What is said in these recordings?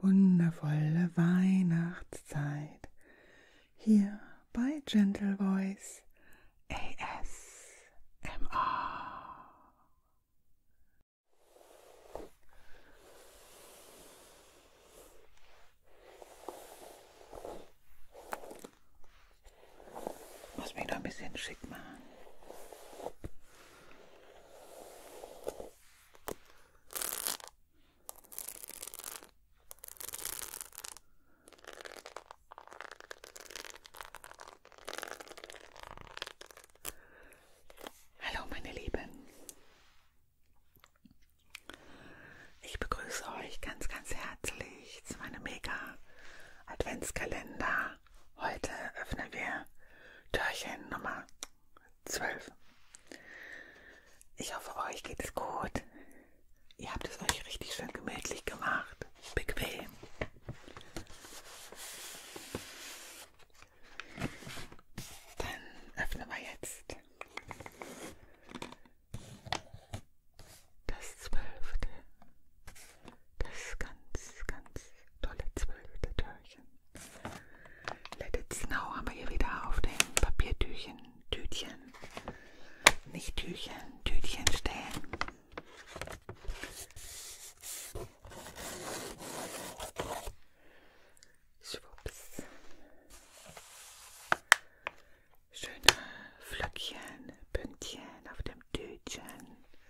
wundervolle Weihnachtszeit hier bei Gentle Voice ASMR. Muss mich noch ein bisschen schick machen. Hallo meine Lieben. Ich begrüße euch ganz, ganz herzlich zu meinem Mega Adventskalender. Heute öffnen wir Türchen Nummer zwölf. Ich hoffe, euch geht es gut. Ihr habt es euch richtig schön gemütlich gemacht. Bequem. Dann öffnen wir jetzt das zwölfte, das ganz, ganz tolle zwölfte Türchen. Let it snow haben wir hier wieder auf dem Papiertüchchen, Tütchen, nicht Tüchchen, Tütchen stehen. Schwupps. Schöne Flöckchen, Pünktchen auf dem Tütchen.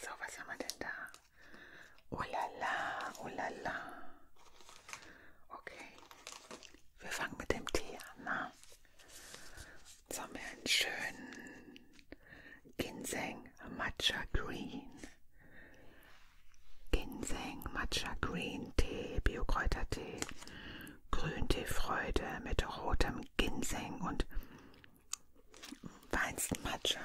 So, was haben wir denn da? Oh la la, oh la la. Okay, wir fangen mit dem Tee an. Na? Jetzt haben wir einen schönen Ginseng Matcha Green. Ginseng Matcha Green Tee, Biokräutertee. Grünteefreude mit rotem Ginseng und Weinstmatcha.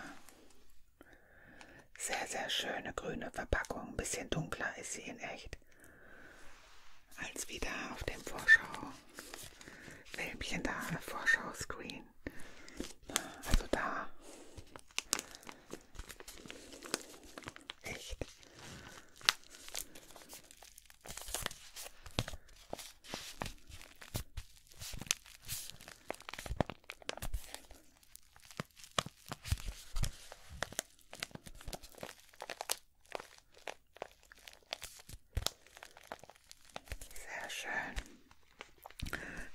Sehr, sehr schöne grüne Verpackung. Ein bisschen dunkler ist sie in echt. Als wieder auf dem Vorschau-Filmchen da, Vorschau-Screen. Also da. Echt? Sehr schön.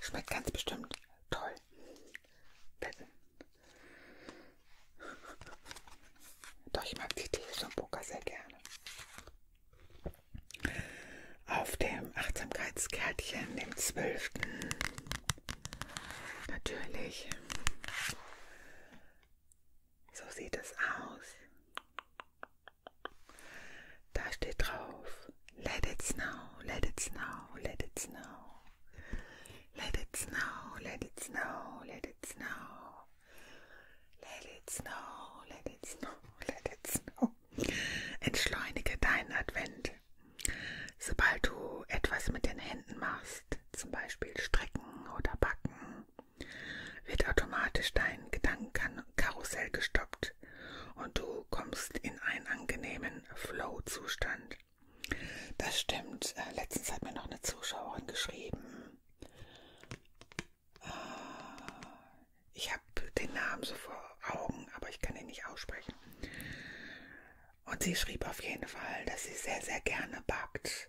Schmeckt ganz bestimmt toll. Betten. Doch ich mag die Tees und Poker sehr gerne. Auf dem Achtsamkeitskärtchen, dem 12. Natürlich. So sieht es aus. Da steht drauf, let it snow, let it snow, let it snow. Let it snow, let it snow, let it snow. Let it snow, let it snow, let it snow. Entschleunige deinen Advent. Sobald du etwas mit den Händen machst, zum Beispiel strecken oder backen, wird automatisch dein Gedankenkarussell gestoppt und du kommst in einen angenehmen Flow-Zustand. Das stimmt. Äh, letztens hat mir noch eine Zuschauerin geschrieben. Äh, ich habe den Namen so vor Augen, aber ich kann ihn nicht aussprechen. Und sie schrieb auf jeden Fall, dass sie sehr, sehr gerne backt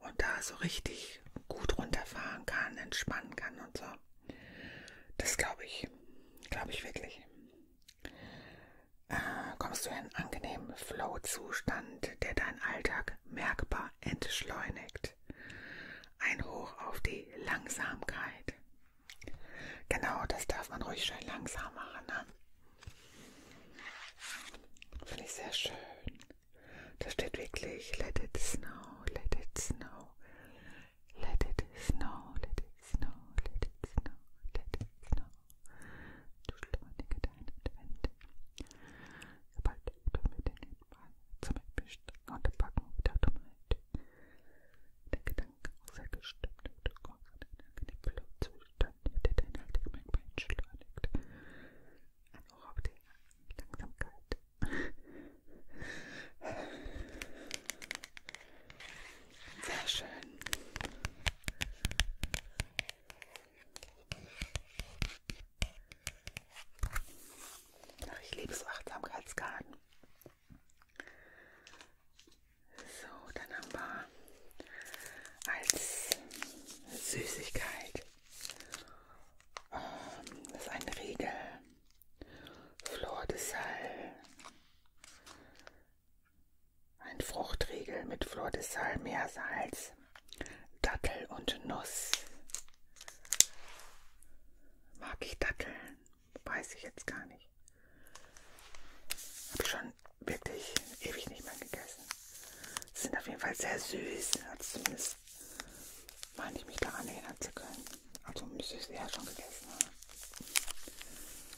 und da so richtig gut runterfahren kann, entspannen kann und so. Das glaube ich. Glaube ich wirklich äh, kommst du in einen angenehmen Flow-Zustand, der deinen Alltag merkbar entschleunigt. Ein Hoch auf die Langsamkeit. Genau, das darf man ruhig schön langsam machen. Ne? Finde ich sehr schön. Da steht wirklich Let it snow, let it snow, let it snow, let it snow, let it snow, let it snow. Duschelwandige deine Wände. Sobald du mit den Händen zum Beispiel und Backen wieder Dummheit. Der Gedanke muss sehr gestimmt und du kommst in einen angenehmen Zustand, der dein Alltag beschleunigt. Und auch auf die Langsamkeit. Sehr schön. Ach, ich liebe so Achtsamkeitskarten. So, dann haben wir als Süßigkeit ähm, das ist ein Riegel, Flor de Sal, ein Fruchtriegel mit Flor de Sal, Meersalz, Dattel und Nuss. Mag ich Datteln? Weiß ich jetzt gar nicht. Habe schon wirklich ewig nicht mehr gegessen. Sind auf jeden Fall sehr süß. Also zumindest meine ich mich daran erinnern zu können. Also müsste ich sie ja schon gegessen haben.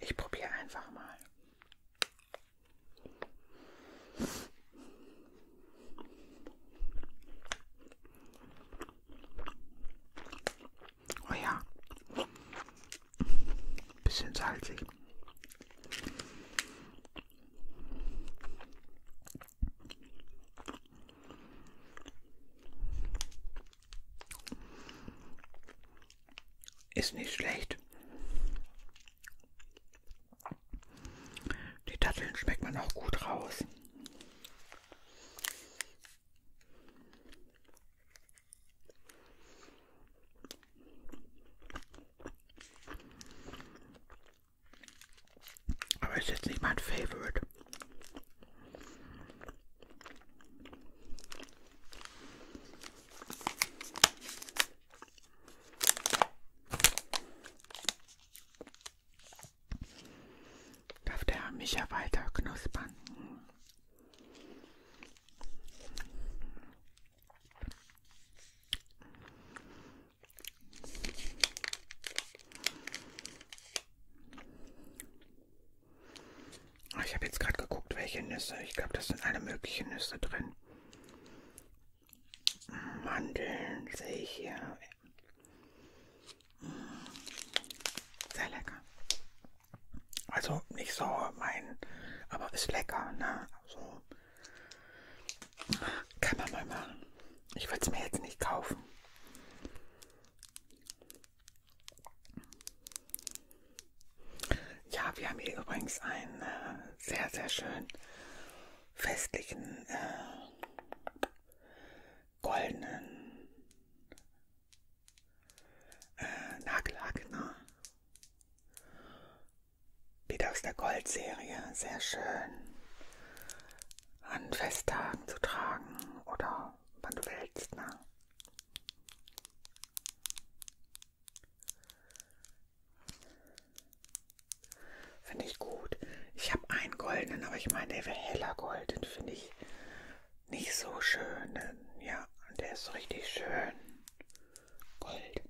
Ich probiere einfach mal. Oh ja. Bisschen salzig. Ist nicht schlecht. Die Datteln schmeckt man auch gut raus. Aber ist jetzt nicht mein Favorite. Darf der mich ja weiter knuspern? Ah, ich habe jetzt gerade geguckt, welche Nüsse. Ich glaube, das sind alle möglichen Nüsse drin. Mm, Mandeln sehe ich hier. Mm, sehr lecker. Also nicht so mein, aber ist lecker, ne? So also, kann man mal machen. Ich würde es mir jetzt nicht kaufen. Ja, wir haben hier übrigens einen äh, sehr, sehr schönen festlichen äh, goldenen äh, Nagellack. Ne? Wieder aus der Goldserie. Sehr schön an Festtagen zu tragen oder wann du willst. Ne? Finde ich gut. Ich habe einen goldenen, aber ich meine, der wäre heller golden. Finde ich nicht so schön. Ja, der ist richtig schön. Gold.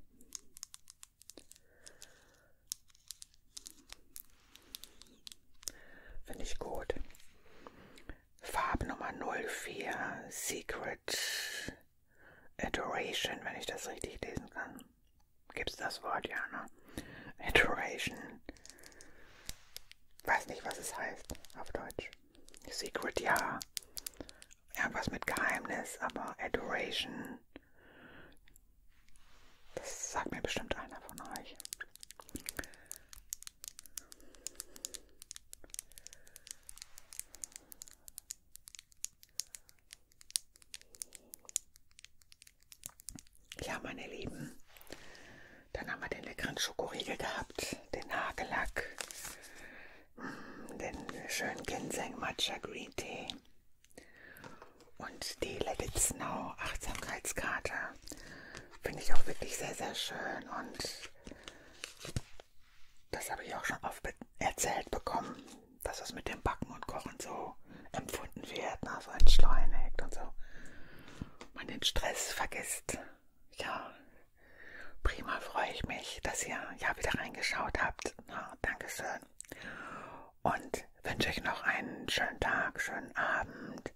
Finde ich gut. Farbe Nummer 04, Secret Adoration, wenn ich das richtig lesen kann. Gibt's das Wort, ja, ne? Adoration. Weiß nicht, was es heißt auf Deutsch. Secret, ja. Irgendwas mit Geheimnis, aber Adoration das sagt mir bestimmt einer von euch. Ja, meine Lieben, dann haben wir den leckeren Schokoriegel gehabt, den Nagellack, den schönen Ginseng Matcha Green Tee, und die Let It Snow Achtsamkeitskarte finde ich auch wirklich sehr, sehr schön. Und das habe ich auch schon oft erzählt bekommen, dass es mit dem Backen und Kochen so empfunden wird, ne? so entschleunigt und so. Man den Stress vergisst. Ja, prima freue ich mich, dass ihr ja wieder reingeschaut habt. Na, Dankeschön und wünsche euch noch einen schönen Tag, schönen Abend,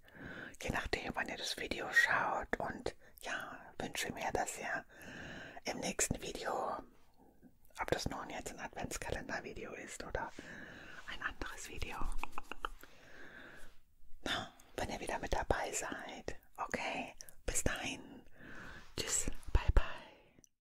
je nachdem, wann ihr das Video schaut. Und ja, wünsche mir, dass ihr im nächsten Video, ob das nun jetzt ein Adventskalender-Video ist oder ein anderes Video, na, wenn ihr wieder mit dabei seid. Okay, bis dahin. Tschüss, bye bye.